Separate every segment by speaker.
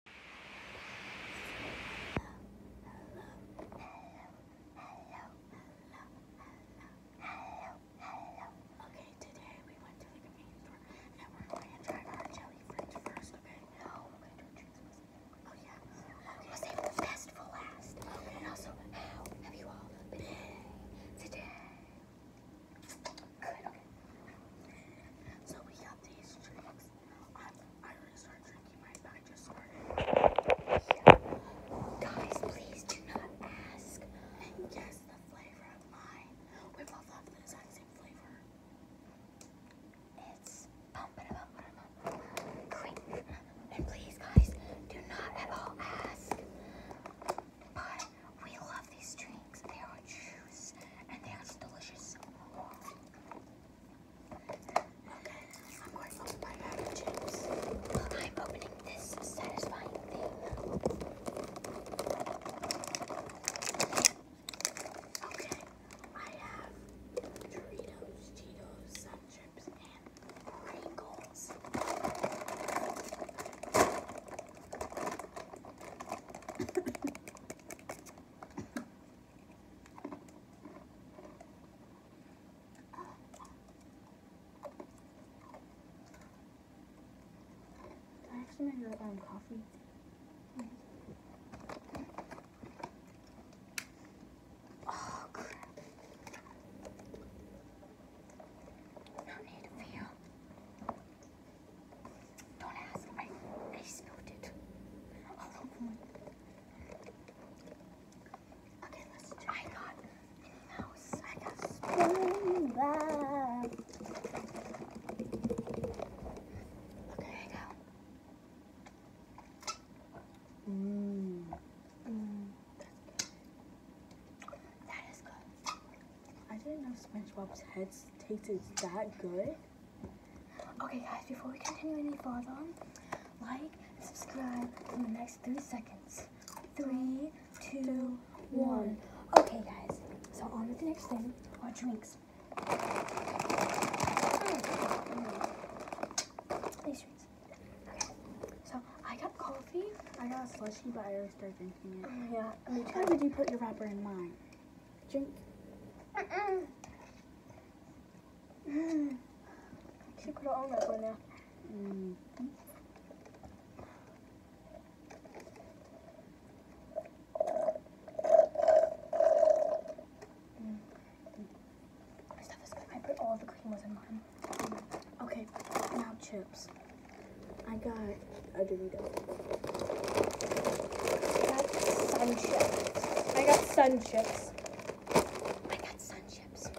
Speaker 1: Okay, today we went to the convenience store and we're going to try our jelly fridge first, okay? No, okay, don't choose this. Oh, yeah. We'll save the best for last. And also, how have you all been today? Good, So we got these drinks. I already started Guys, please do not ask. yes, the flavor of mine. We both love the exact same flavor. It's pumping up, great. And please, guys, do not at all ask. But we love these drinks. They are juice and they are delicious. I'm going to open my chips. I'm opening this satisfying thing. Okay, I have Doritos, Cheetos, Sun Chips, and Pringles. I actually made another um, coffee. Oh, don't ask. I, I smelled it. Okay, let's try. I got Minnie Mouse. I got Okay, I got. Mmm. That is good. I didn't know SpongeBob's head tasted that good. Okay guys, before we continue any further, like subscribe in the next three seconds. Three, two, one. Okay guys, so on with the next thing, our drinks. Mm. These drinks. Okay. So I got coffee. I got a slushy, but I started drinking it. Mm, yeah. Why would you put your wrapper in mine? Drink. Mm -mm. Mm. She could have owned that Mm. -hmm. Stuff is good. I put all the cream in mine. Okay, now chips. I got a Dorito. I got sun chips. I got sun chips. I got sun chips.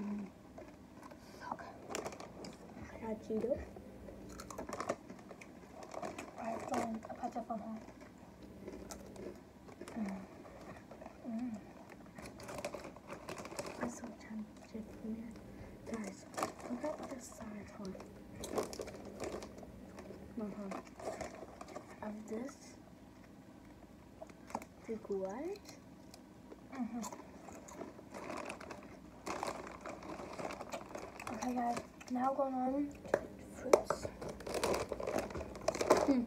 Speaker 1: Mm. Okay. I got Cheeto. I've drawn a pizza from home. Mm. Mm. I'm so tempted here. Guys, look at the size one. Uh -huh. Uh-huh. Of this big white. Mm -hmm. Okay guys, now going on to fruits. Hmm.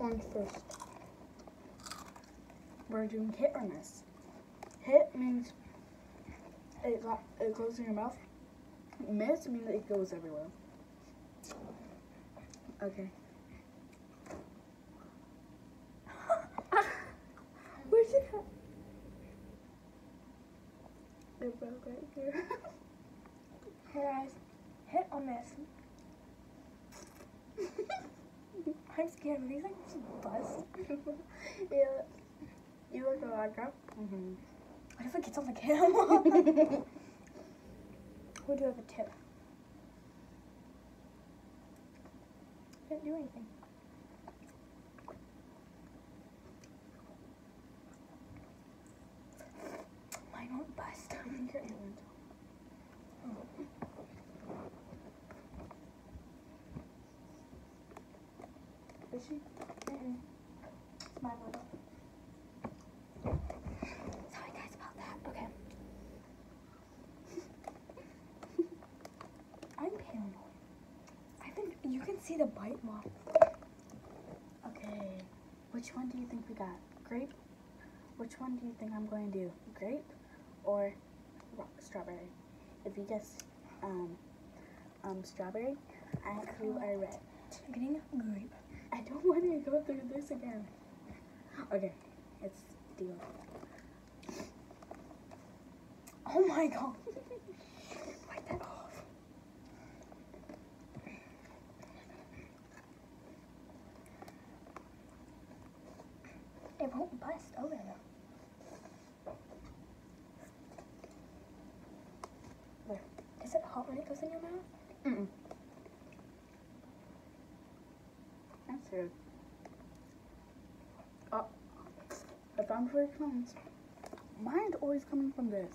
Speaker 1: Orange first we're doing hit or miss. Hit means it, it goes in your mouth. Miss means it goes everywhere. Okay. Where's it at? It broke right here. hit guys, hit or miss. I'm scared. These like just bust. yeah. You look a vodka. Mm-hmm. What if it gets on the camera? we do have a tip. Didn't do anything. Mine won't bust. Is she? Mm -mm. my bottle. Sorry guys about that. Okay. I'm paranoid. I've You can see the bite mark. Okay. Which one do you think we got? Grape? Which one do you think I'm going to do? Grape or strawberry? If you guess um, um, strawberry, I you are red. i getting grape. I don't want to go through this again. Okay, it's deal. Oh my god. Wipe that off. It won't bust over though. Where? Is it hot when it goes in your mouth? Mm, That's rude. Oh, I found where it comes. always coming from this.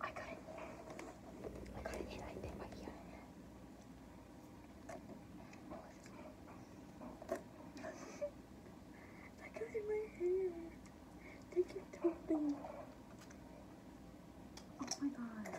Speaker 1: I got it. I got an ear. my ear. I got in my hair. They keep talking. Oh my god.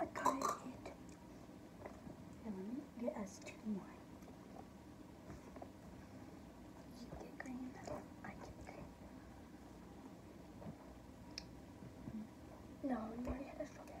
Speaker 1: I got it. And get us two more. You get green. I get No, we already had a strawberry.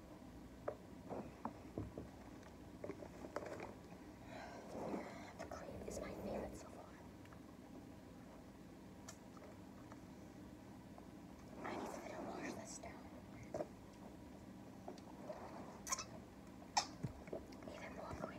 Speaker 1: The cream is my favorite so far. I need to wash this down. Even more cream.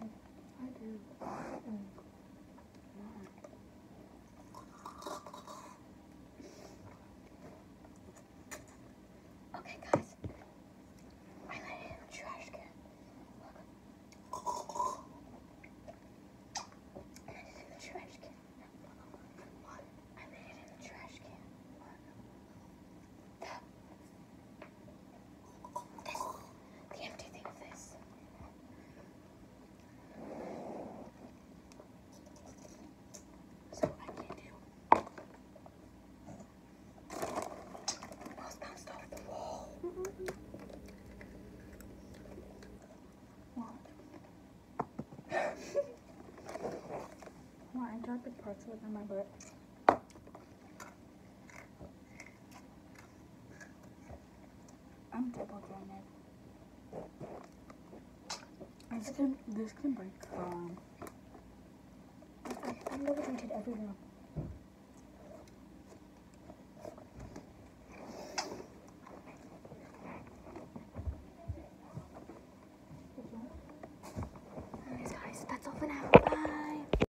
Speaker 1: I do. Okay, guys. I let it in the trash can. Look. I let it in the trash can. What? I let it in the trash can. Look. This, the empty thing of this. So I can do. Mouse bounced off the wall. Mm -hmm. I dropped the pretzel in my butt. I'm double jointed. This can this can break. Um, I, am double jointed everywhere. Anyways, guys, that's all for now. Bye.